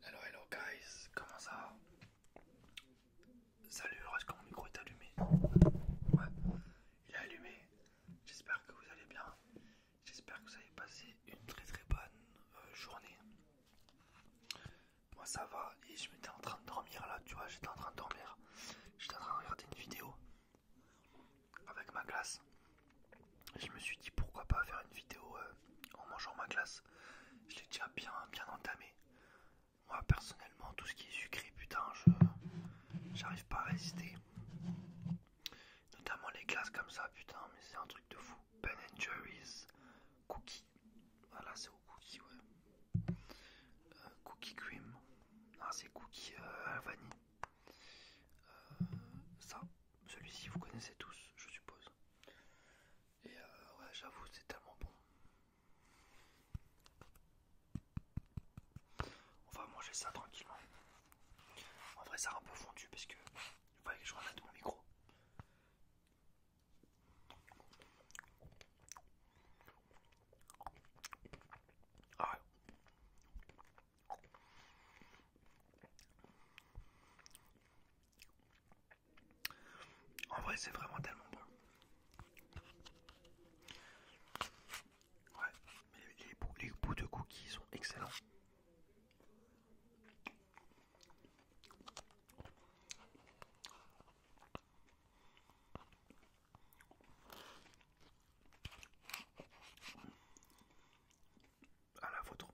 Hello, hello guys, comment ça va Salut, est-ce que mon micro est allumé Ouais, il est allumé. J'espère que vous allez bien. J'espère que vous avez passé une très très bonne euh, journée. Moi ça va et je m'étais en train de dormir là, tu vois, j'étais en train de dormir. J'étais en train de regarder une vidéo avec ma classe je me suis dit pourquoi pas faire une vidéo euh, en mangeant ma glace. Je l'ai déjà bien, bien entamé. Moi personnellement, tout ce qui est sucré, putain, je j'arrive pas à résister. Notamment les glaces comme ça, putain, mais c'est un truc de fou. Ben Jerry's cookie. Voilà, c'est au cookie, ouais. Euh, cookie cream. Ah, c'est cookie euh, vanille. ça, celui-ci, vous connaissez tous, je suppose. Et euh, ouais, j'avoue, c'est tellement bon. On va manger ça tranquillement. En vrai, ça a un peu fondu parce que il fallait que je remette mon micro. Ah en vrai, c'est vraiment tellement bon. les bouts, les bouts de cookies sont excellents à la vôtre.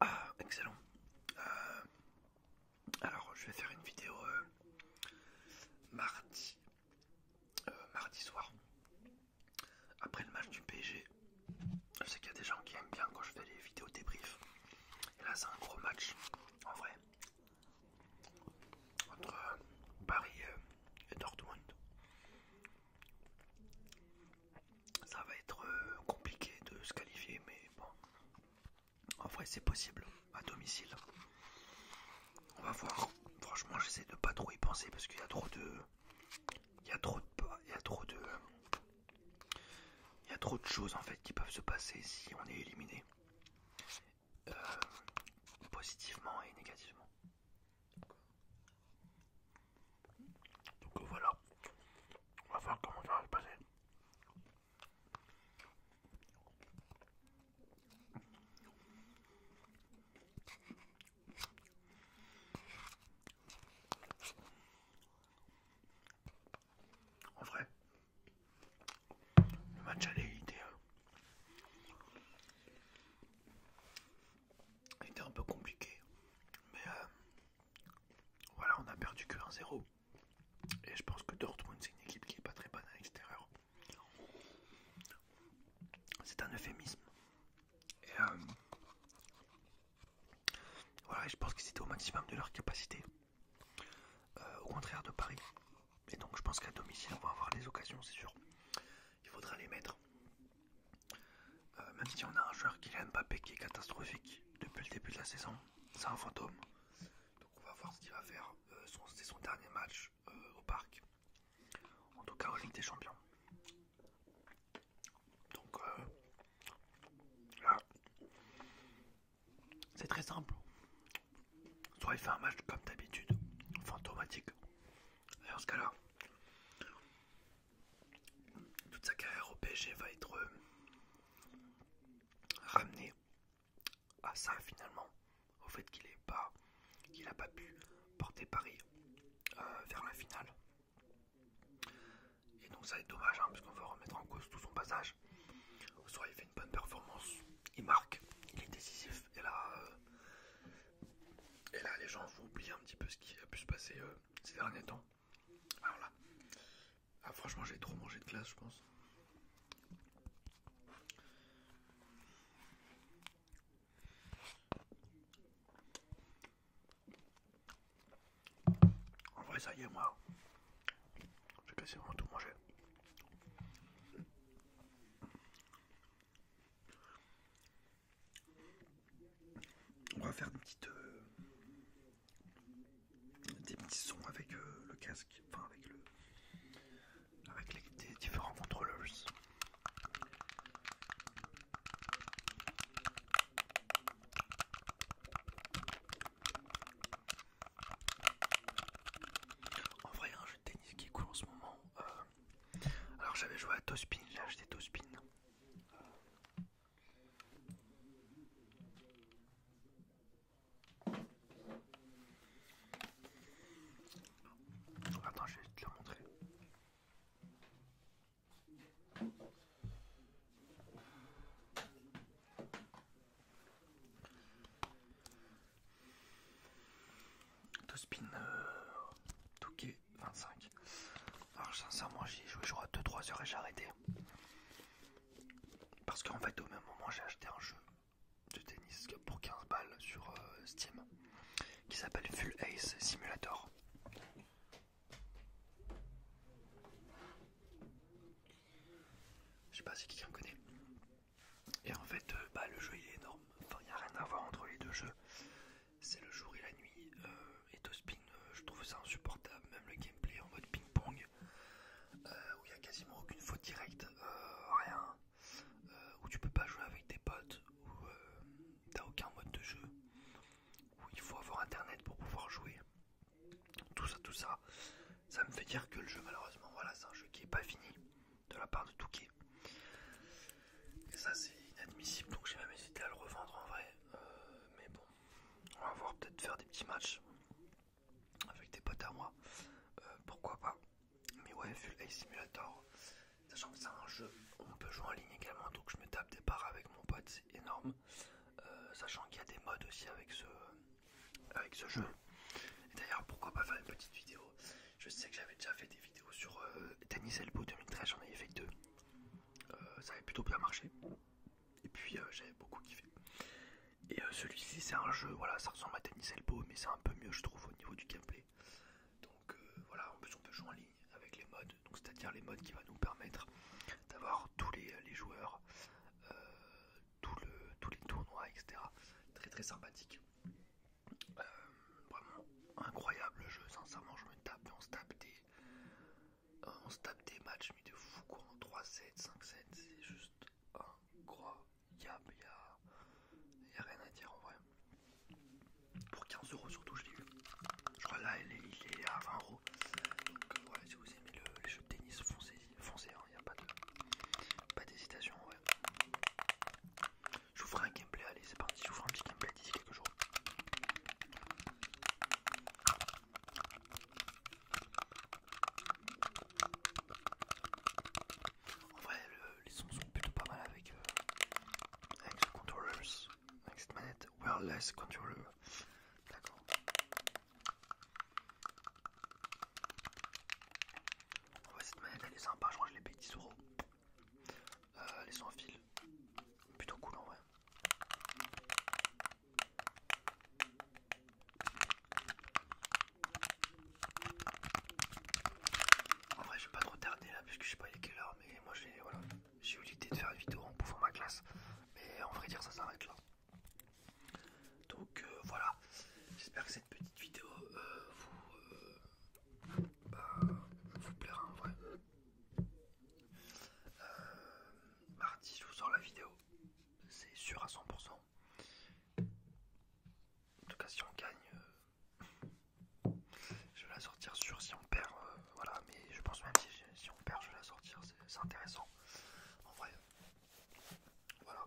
Ah, excellent. Euh, alors, je vais faire une vidéo euh, mardi euh, mardi soir, après le match du PSG. Je sais qu'il y a des gens qui aiment bien quand je fais les vidéos débriefs. Et là, c'est un gros match, en vrai, entre euh, Paris euh, et Dortmund. Ça va être compliqué de se qualifier, mais bon, en vrai, c'est possible à domicile. On va voir. Franchement, j'essaie de pas trop y penser parce qu'il y a trop de, il y a trop de, il y a trop de, il y a trop de choses en fait qui peuvent se passer si on est éliminé, euh, positivement et négativement. Donc voilà, on va voir comment ça va se passer. En vrai, le match allait était, euh, était un peu compliqué, mais euh, voilà, on a perdu que 1-0. Et je pense que Dortmund, c'est une équipe qui n'est pas très bonne à l'extérieur. C'est un euphémisme. Et euh, voilà, je pense que c'était au maximum de leur capacité. Euh, au contraire de Paris. Et donc je pense qu'à domicile, on va avoir des occasions, c'est sûr. Il faudra les mettre. Euh, même si on a un joueur qui Mbappé qui est catastrophique depuis le début de la saison, c'est un fantôme. Donc on va voir ce qu'il va faire. Euh, c'est son dernier match euh, au parc. En tout cas en Ligue des Champions. Donc euh, là. C'est très simple. Soit il fait un match comme d'habitude, fantomatique. Et en ce cas-là, toute sa carrière au PSG va être ramenée à ah, ça finalement, au fait qu'il n'a pas, n'a pas pu porter Paris euh, vers la finale. Et donc ça est dommage, hein, parce qu'on va remettre en cause tout son passage. Soit il fait une bonne performance, il marque, il est décisif, euh, et là, les gens vont oublier un petit peu ce qui a pu se passer euh, ces derniers temps. Alors ah, franchement, j'ai trop mangé de glace, je pense. En vrai, ça y est, moi, j'ai quasiment tout manger. On va faire une petite, euh, des petits sons avec euh, le casque, enfin avec le avec les, différents contrôleurs. En vrai, un jeu de tennis qui est cool en ce moment. Euh, alors, j'avais joué à Tospin, j'ai acheté Tospin. Euh, Attends, je vais te le montrer. Tospin euh, Touquet 25. Alors ah, sincèrement j'y ai joué je 2-3 heures et j'ai arrêté. Parce qu'en fait au même moment j'ai acheté un jeu de tennis pour 15 balles sur euh, Steam qui s'appelle Full Ace Simulator. Je sais pas si quelqu'un connaît. Et en fait, euh, bah, le jeu il est énorme. Enfin, il n'y a rien à voir entre les deux jeux c'est le jour et la nuit. Euh, et tout spin euh, je trouve ça insupportable. Même le gameplay en mode ping-pong, euh, où il n'y a quasiment aucune faute directe, rien, où tu peux pas jouer avec tes potes, où t'as aucun mode de jeu, où il faut avoir internet pour pouvoir jouer. Tout ça, tout ça, ça me fait dire que le jeu, malheureusement, voilà, c'est un jeu qui est pas fini de la part de Touquet ça c'est inadmissible donc j'ai même hésité à le revendre en vrai. Euh, mais bon, on va voir peut-être faire des petits matchs avec des potes à moi. Euh, pourquoi pas. Mais ouais, Full-Ace Simulator, sachant que c'est un jeu, on peut jouer en ligne également donc je me tape des parts avec mon pote, c'est énorme. Euh, sachant qu'il y a des modes aussi avec ce, avec ce jeu. Et d'ailleurs, pourquoi pas faire une petite vidéo Je sais que j'avais déjà fait des vidéos sur Denis Elbo Elbow 2013, j'en ai fait deux. Euh, ça avait plutôt bien marché. Et puis euh, j'avais beaucoup kiffé. Et euh, celui-ci, c'est un jeu, voilà, ça ressemble à Tennis Elbow, mais c'est un peu mieux, je trouve, au niveau du gameplay. Donc voilà, en plus on peut jouer en ligne avec les modes, donc c'est-à-dire les modes qui va nous permettre d'avoir tous les, joueurs, tous les tournois, etc. Très très sympathique. Euh, vraiment incroyable le jeu, sincèrement je me tape, on se tape des, euh, on se tape des matchs mais de fou quoi, en 3-7, 5-7, c'est juste incroyable, il n'y a rien à dire en vrai. Pour 15€ surtout je l'ai vu. je crois là il est, à 20€, donc euh, si vous aimez le, les de tennis foncez, il hein, n'y a pas d'hésitation pas en vrai. Je vous ferai un gameplay, allez c'est parti, je vous ferai un petit gameplay d'ici quelques jours. En vrai les sons sont plutôt pas mal avec, euh, avec ce controllers, avec cette manette wireless controller. D'accord. En vrai cette manette elle est sympa, je crois que je l'ai payé euh, les les en fil, plutôt cool en vrai. En vrai, je vais pas trop tarder là, puisque je sais pas il est quelle heure, mais moi j'ai voilà, eu l'idée de faire une vidéo en bouffant ma classe mais en vrai dire ça s'arrête là. Donc euh, voilà, j'espère que cette petite vidéo euh, vous, bah, vous plaira en vrai. Euh, mardi, je vous sors la vidéo, c'est sûr à 100%. En tout cas, si on gagne, euh, je vais la sortir sûr. Si on perd, euh, voilà, mais je pense même si on perd, je vais la sortir, c'est intéressant. En vrai, voilà.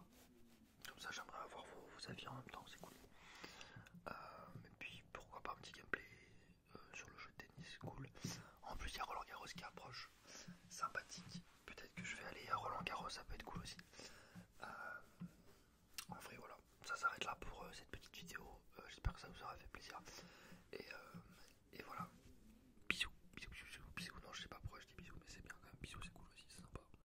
Comme ça, j'aimerais avoir vos, avis en même temps, c'est cool. Euh, et puis pourquoi pas un petit gameplay euh, sur le jeu de tennis, cool. En plus, il y a Roland Garros qui approche, sympathique. Peut-être que je vais aller à Roland Garros, ça peut être cool aussi. Euh, en vrai, voilà, ça s'arrête là pour cette petite vidéo. J'espère que ça vous aura fait plaisir. Et, et voilà, bisous, bisous, bisous, bisous. Non, je sais pas pourquoi je dis bisous, mais c'est bien quand même. Bisous, c'est cool aussi, c'est sympa.